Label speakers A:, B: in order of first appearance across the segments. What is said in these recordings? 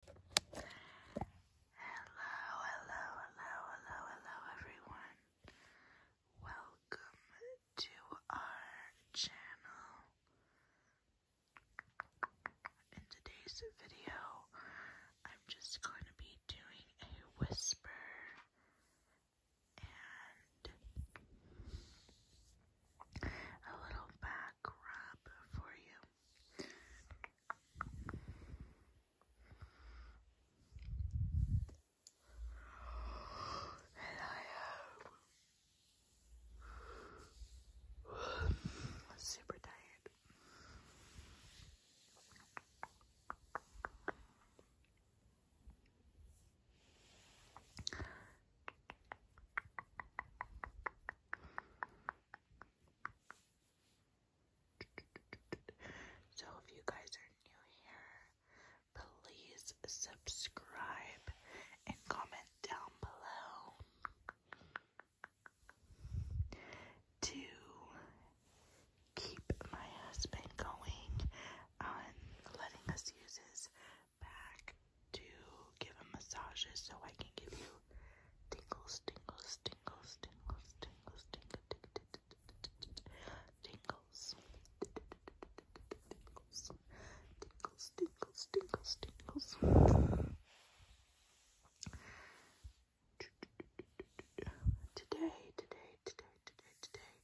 A: Hello, hello, hello, hello, hello, everyone. Welcome to our channel. In today's video, I'm just going to be doing a whisper and a little back rub for you. And I am super tired. So, if you guys are new here, please subscribe and comment down below to keep my husband going on letting us use his back to give him massages so I can give you tingles, tingles, tingles, tingles, tingles, tingles, tingles, tingles, tingles, tingles, tingles, tingles. Today, today, today, today, today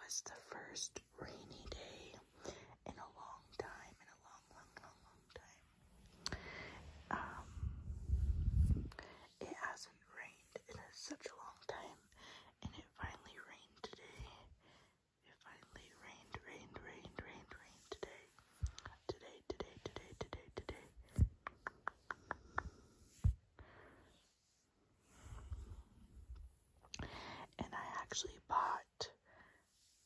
A: was the first rainy day in a long time, in a long, long, long, long time. Um, it hasn't rained in such a long time, and it finally rained today. It finally rained, rained, rained, rained, rained today. Today, today, today, today, today. And I actually bought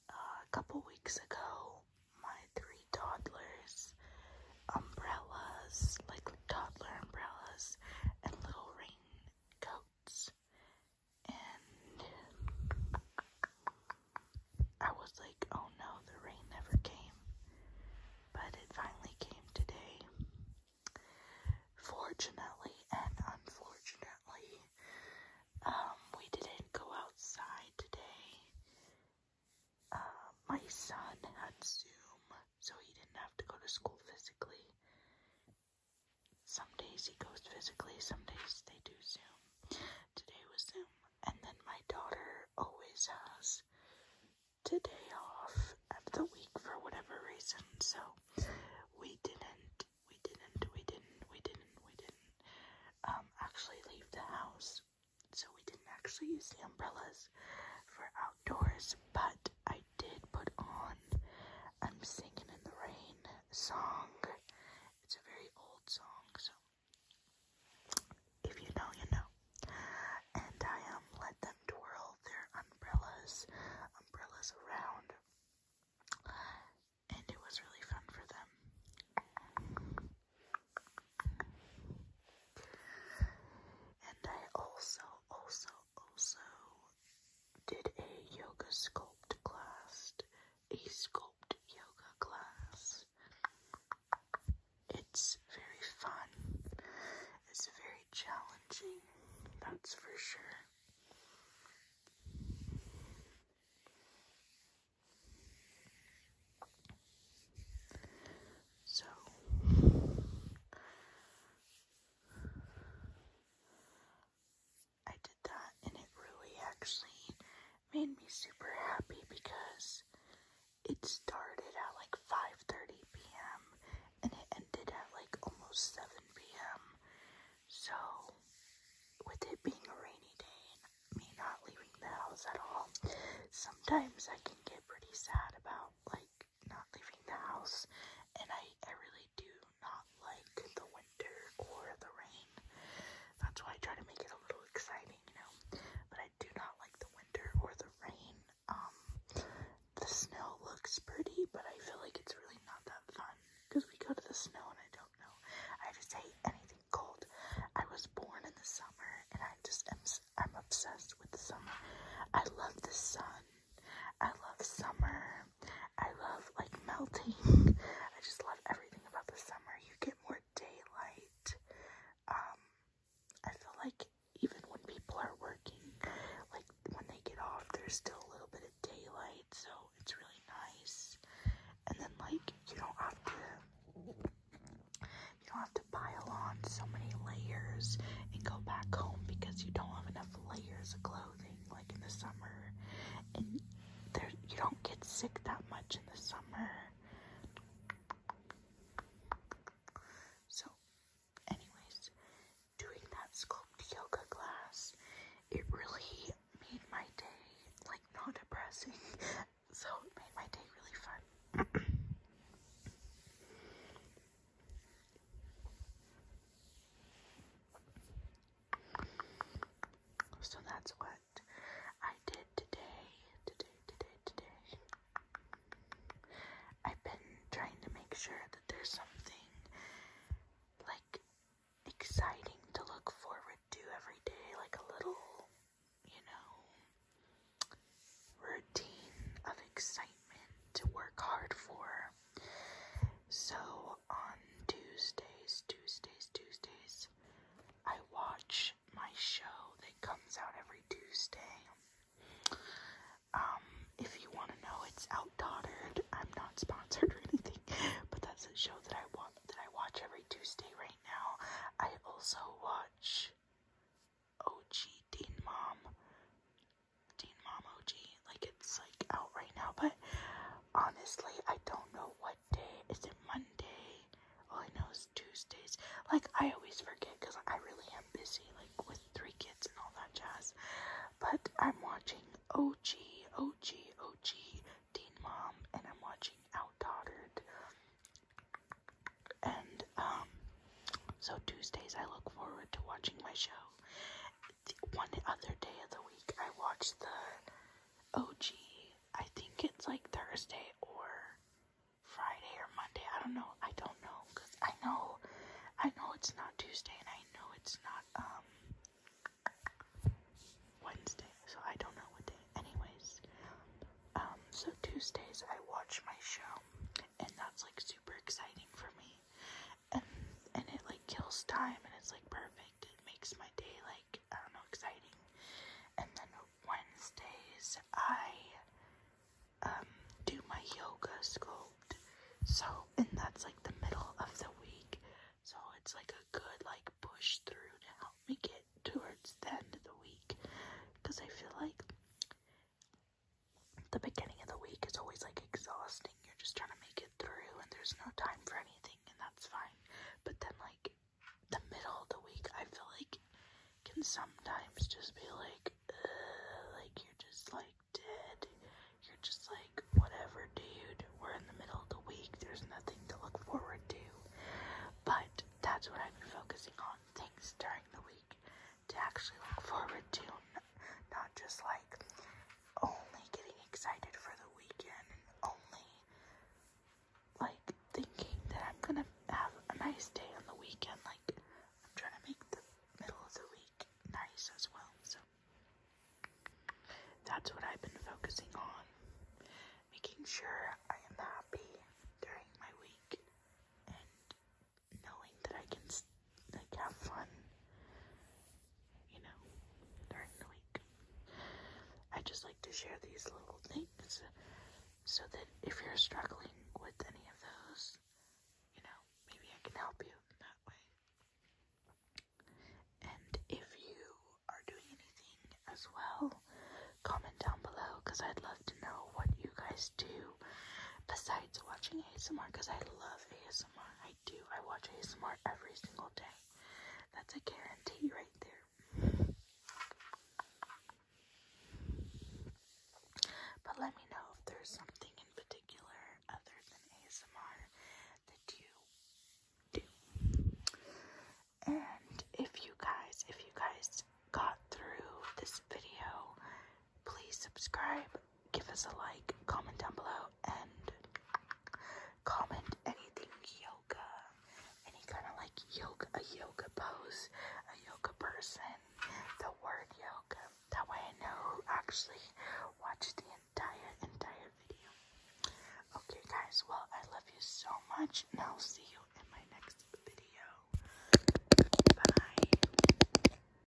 A: uh, a couple weeks ago, my three toddlers, umbrellas, like toddler umbrellas, and little raincoats. And I was like, oh no, the rain never came. But it finally came today. Fortunately and unfortunately, um, we didn't go outside today. Uh, my son had Zoom, so he didn't have to go to school physically. Some days he goes physically, some days they do Zoom. Today was Zoom. And then my daughter always has today off at the week for whatever reason, so no, we didn't, we didn't, we didn't, we didn't, we didn't um, actually leave the house. So we didn't actually use the umbrellas for outdoors, but I did put on I'm um, Singing in the Rain song. It's a very old song, so if you know, you know. And I am um, let them them their umbrellas, umbrellas around, and it was really fun for them. And I also, also, also did a yoga sculpt class, a sculpt yoga class. It's very fun. It's very challenging, that's for sure. So, I did that, and it really actually made me super happy because it started at like 5:30 p.m. and it ended at like almost 7 p.m. So, with it being a rainy day and me not leaving the house at all, sometimes I can get pretty sad about like not leaving the house, and I I really do not like the winter or the rain. That's why I try to make it a little exciting, you know. But I do not like the winter or the rain. Um, the snow looks pretty, but I feel like it's really not that fun because we go to the snow and I don't know. I just hate anything cold. I was born in the summer and I just am I'm obsessed with the summer. I love the sun. I love summer. I love like melting. I just love everything about the summer. You get more daylight. Um, I feel like even when people are working, like when they get off, there's still a little bit of daylight, so it's really nice. And then like you don't have to you don't have to pile on so many layers and go back home because you don't have enough layers of clothing like in the summer. And there you don't get sick that much in the summer. So, anyways, doing that sculpt yoga class, it really made my day like not depressing. so it made my day really fun. so that's why I did today, today, today, today. I've been trying to make sure that there's something like exciting to look forward to every day, like a little, you know, routine of excitement to work hard for. So on Tuesdays, Tuesdays, Tuesdays, I watch my show that comes out every Tuesday. Um, if you want to know, it's Outdaughtered. I'm not sponsored or anything, but that's a show that I watch that I watch every Tuesday right now. I also watch OG Dean Mom, Dean Mom OG. Like it's like out right now, but honestly, I don't know what day. Is it Monday? All I know is Tuesdays. Like, I always forget because I really am busy, like, with three kids and all that jazz. But I'm watching OG, OG, OG, Dean Mom, and I'm watching Out Tottered. And, um, so Tuesdays I look forward to watching my show. one other day of the week I watch the OG I think it's like Thursday or Friday or Monday. I don't know. I don't know because I know, I know it's not Tuesday and I know it's not um Wednesday. So I don't know what day. Anyways, um, so Tuesdays I watch my show and that's like super exciting for me, and and it like kills time and it's like perfect makes my day like I don't know exciting. And then Wednesdays I um do my yoga sculpt. So and that's like the middle of the week. So it's like a good like push through to help me get towards the end of the week because I feel like the beginning of the week is always like exhausting. You're just trying to make it through and there's no time for anything and that's fine. But then, like, the middle of the week, I feel like can sometimes just be like, like you're just like dead. You're just like, whatever, dude. We're in the middle of the week. There's nothing to look forward to. But that's what I've been focusing on things during the week to actually look forward to, not just like only getting excited for the weekend and only like thinking that I'm gonna have a nice day on the weekend. Like, I'm trying to make the middle of the week nice as well. So, that's what I've been focusing on making sure I am happy during my week and knowing that I can like have fun you know, during the week. I just like to share these little things so that if you're struggling with any of those, you know, maybe I can help you that way. And if you are doing anything as well, comment down below because I'd love to know what you guys do besides watching ASMR because I love ASMR. I I do. I watch ASMR every single day. That's a guarantee right there. But let me know if there's something in particular other than ASMR that you do. And if you guys, if you guys got through this video please subscribe, give us a like, comment down below, and comment anything yoga, any kind of like yoga, a yoga pose, a yoga person, the word yoga. That way I know who actually watched the entire, entire video. Okay, guys, well, I love you so much, and I'll see you in my next video. Bye.